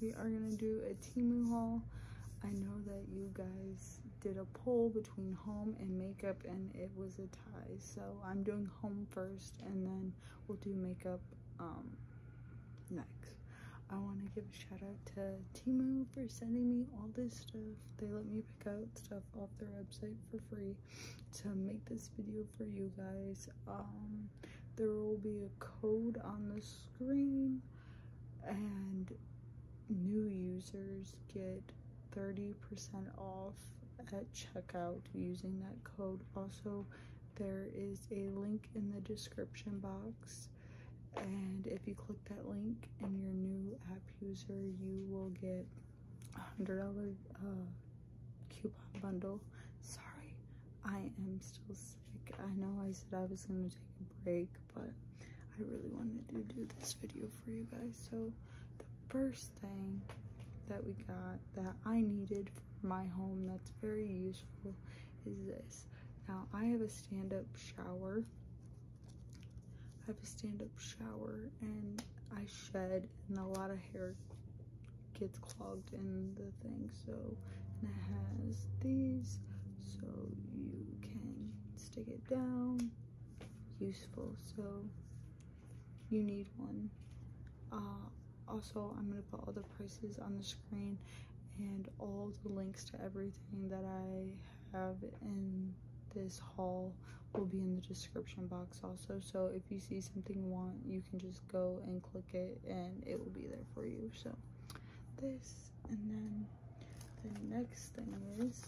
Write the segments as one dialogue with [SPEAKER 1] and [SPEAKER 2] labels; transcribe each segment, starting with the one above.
[SPEAKER 1] We are gonna do a Timu haul. I know that you guys did a poll between home and makeup and it was a tie. So I'm doing home first and then we'll do makeup um, next. I want to give a shout out to Timu for sending me all this stuff. They let me pick out stuff off their website for free to make this video for you guys. Um, there will be a code on the screen and new users get 30% off at checkout using that code. Also, there is a link in the description box and if you click that link and you're a new app user, you will get a $100 uh, coupon bundle. Sorry, I am still I know I said I was gonna take a break, but I really wanted to do this video for you guys. So, the first thing that we got that I needed for my home that's very useful is this. Now, I have a stand-up shower. I have a stand-up shower, and I shed, and a lot of hair gets clogged in the thing so and it has these so you can stick it down useful so you need one uh, also i'm going to put all the prices on the screen and all the links to everything that i have in this haul will be in the description box also so if you see something you want you can just go and click it and it will be there for you so this and then the next thing is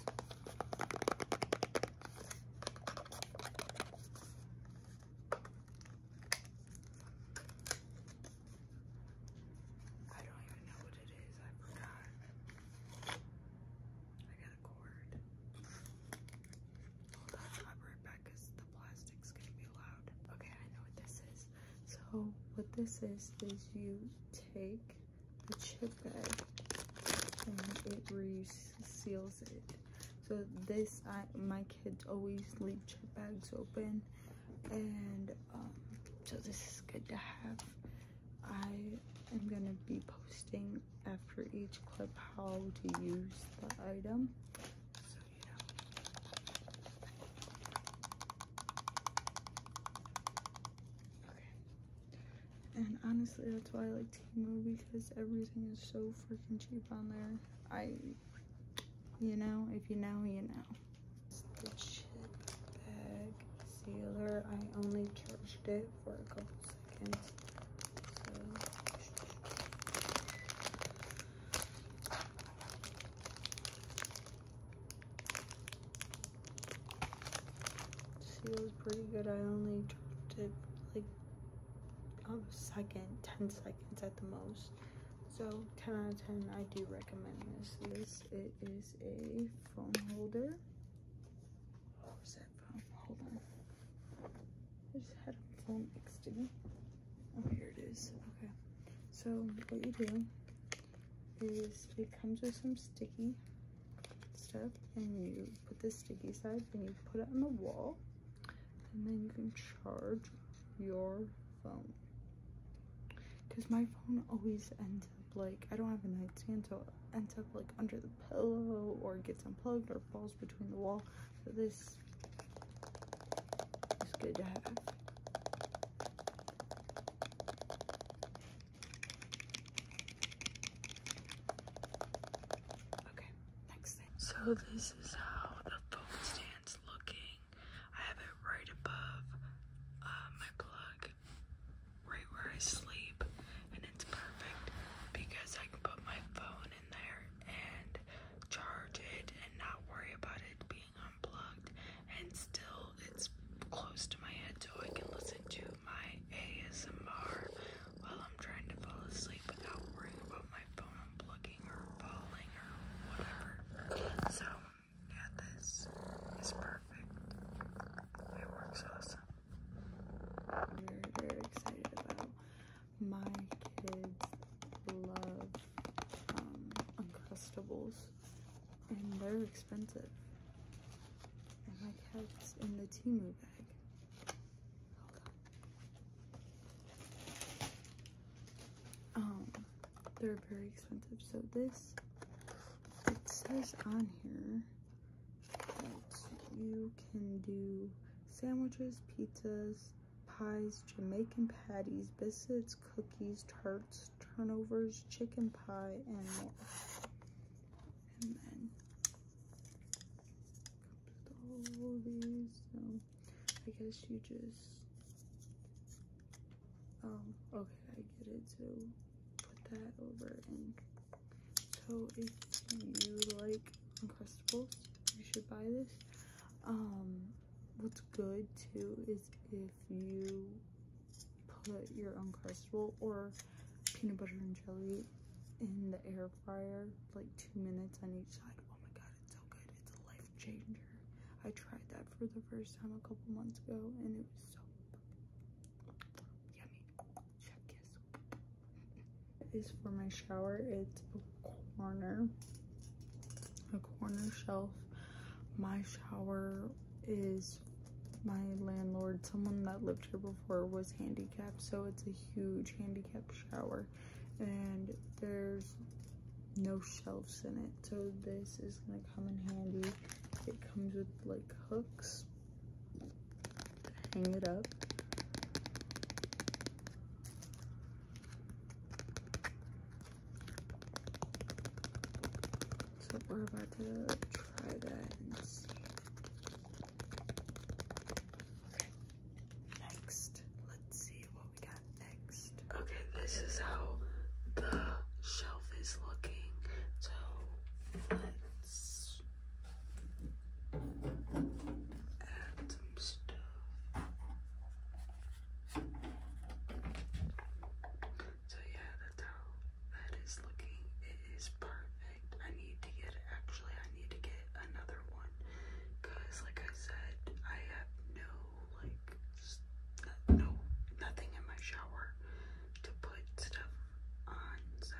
[SPEAKER 1] I don't even know what it is. I forgot. I got a cord. Hold on, I'll be right back because the plastic's gonna be loud. Okay, I know what this is. So what this is, is you take the chip bag and it reseals it. So this, my kids always leave chip bags open and um, so this is good to have. I am going to be posting after each clip how to use the item. And honestly, that's why I like Timu because everything is so freaking cheap on there. I, you know, if you know, you know. The chip bag sealer. I only charged it for a couple seconds. She was pretty good. I only took it like a second, 10 seconds at the most. So 10 out of 10, I do recommend this. This it is a phone holder. What was that phone? Hold on. just had a phone next to me. Oh, here it is. Okay. So what you do is it comes with some sticky stuff and you put the sticky side and you put it on the wall and then you can charge your phone. Because my phone always ends up like, I don't have a nightstand so it ends up like under the pillow or gets unplugged or falls between the wall. So this it's good to have. Okay, next thing. So this is how the phone stand's looking. I have it right above uh, my plug, right where I sleep, and it's perfect because I can put my phone in there and charge it and not worry about it being being unplugged and still it's close to my head so I can listen to my ASMR while I'm trying to fall asleep without worrying about my phone unplugging or falling or whatever. So yeah, this is perfect. It works awesome. very excited about my kids love um, Uncrustables, and they're expensive. And my cat's in the Timu bag. Um, they're very expensive. So this, it says on here that you can do sandwiches, pizzas, pies, Jamaican patties, biscuits, cookies, tarts, turnovers, chicken pie, and more. And then all these. Um, I guess you just um okay, I get it. So put that over and so if you like Uncrustables, you should buy this. Um what's good too is if you put your own uncrustable or peanut butter and jelly in the air fryer like two minutes on each side oh my god it's so good it's a life changer i tried that for the first time a couple months ago and it was so yummy chef kiss is for my shower it's corner, a corner shelf. My shower is my landlord, someone that lived here before, was handicapped, so it's a huge handicapped shower. And there's no shelves in it, so this is gonna come in handy. It comes with like hooks hang it up. So we're about to try that and see. Okay. Next, let's see what we got next. Okay, this is how the shelf is looking. So let's add some stuff. So yeah, that's how that is looking. It is perfect. I need to get actually I need to get another one because like I said, I have no like no nothing in my shower to put stuff on. So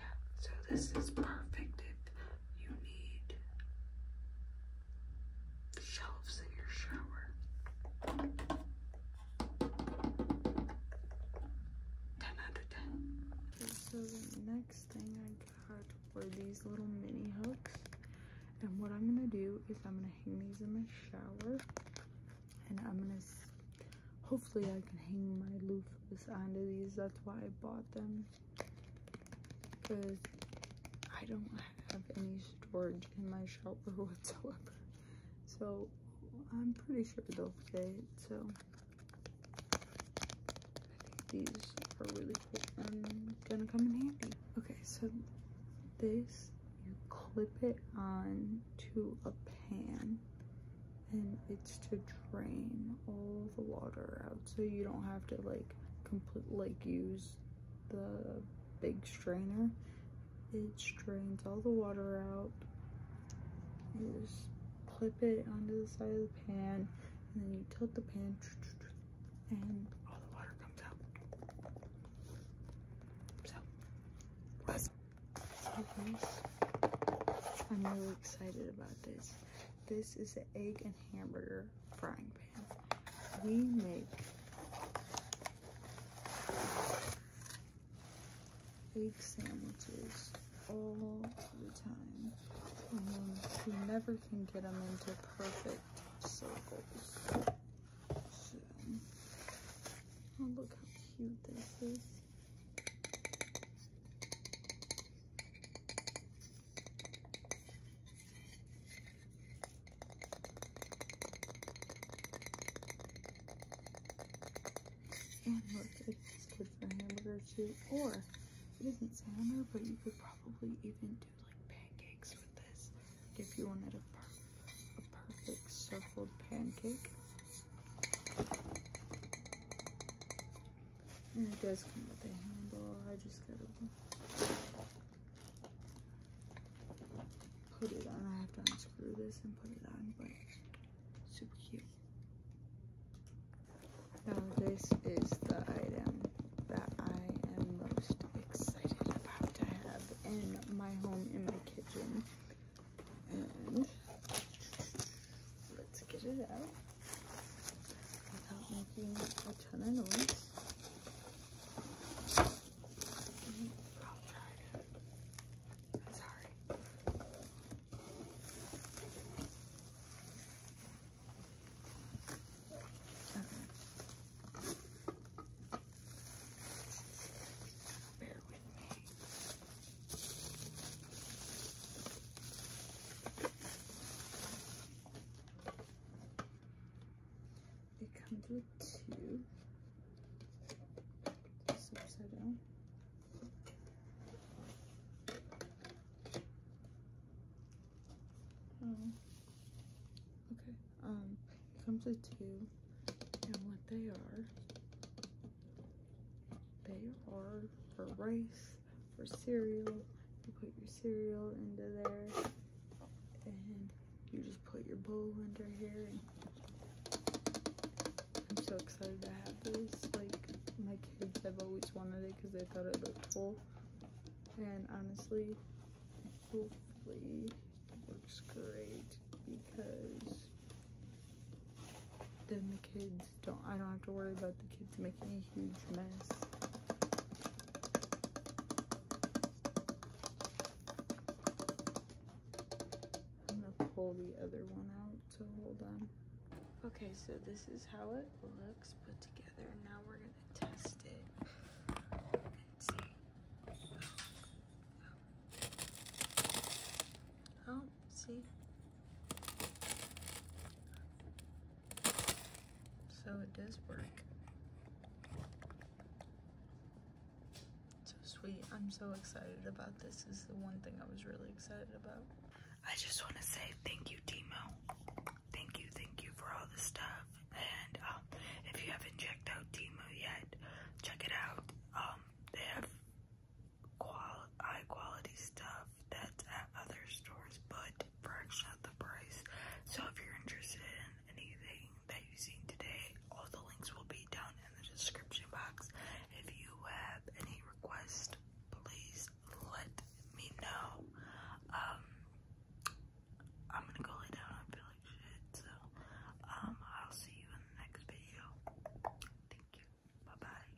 [SPEAKER 1] yeah, so this is perfect if you need shelves in your shower. 10 out 10. so the next thing I got were these little mini hooks. And what I'm going to do is I'm going to hang these in my shower. And I'm going to, hopefully I can hang my loofahs onto these. That's why I bought them because I don't have any storage in my shower whatsoever. So I'm pretty sure they'll fit. So I think these are really cool and gonna come in handy. Okay, so this you clip it on to a pan and it's to drain all the water out so you don't have to like complete like use the big strainer it strains all the water out you just clip it onto the side of the pan and then you tilt the pan and all the water comes out so let i'm really excited about this this is the egg and hamburger frying pan we make egg sandwiches all the time. And we never can get them into perfect circles. So, oh, look how cute this is. And look, it's good for hamburger too. Or it isn't salmon, but you could probably even do like pancakes with this. Like if you wanted a, per a perfect circled pancake. And it does come with a handle. I just gotta put it on. I have to unscrew this and put it on, but super cute. Now this is the item that I am most excited about to have in my home, in my kitchen. And let's get it out without making a ton of noise. I'm sorry. Okay. Bear with me. Okay. It comes with two. upside down. Hmm. Okay. Um, comes with two. And what they are, they are for rice for cereal. You put your cereal into there and you just put your bowl under here. I'm so excited to have this. Like my kids have always wanted it because they thought it looked cool. And honestly, hopefully it works great because then the kids don't, I don't have to worry about the kids making a huge mess. I'm gonna pull the other one out, to hold on. Okay, so this is how it looks put together. Now we're gonna test it and see. Oh, see? So it does work. So sweet. I'm so excited about this. is the one thing I was really excited about. I just want to say thank you, Timo. Thank you, thank you for all the stuff. And um, if you haven't checked out Timo yet, check it out. Um, they have quali high quality stuff that's at other stores, but fraction of the price. So if you're interested in anything that you've seen today, all the links will be down in the description box. If you have any requests, please let me know. Um, I'm gonna go lay down. I feel like shit. So, um, I'll see you in the next video. Thank you. Bye bye.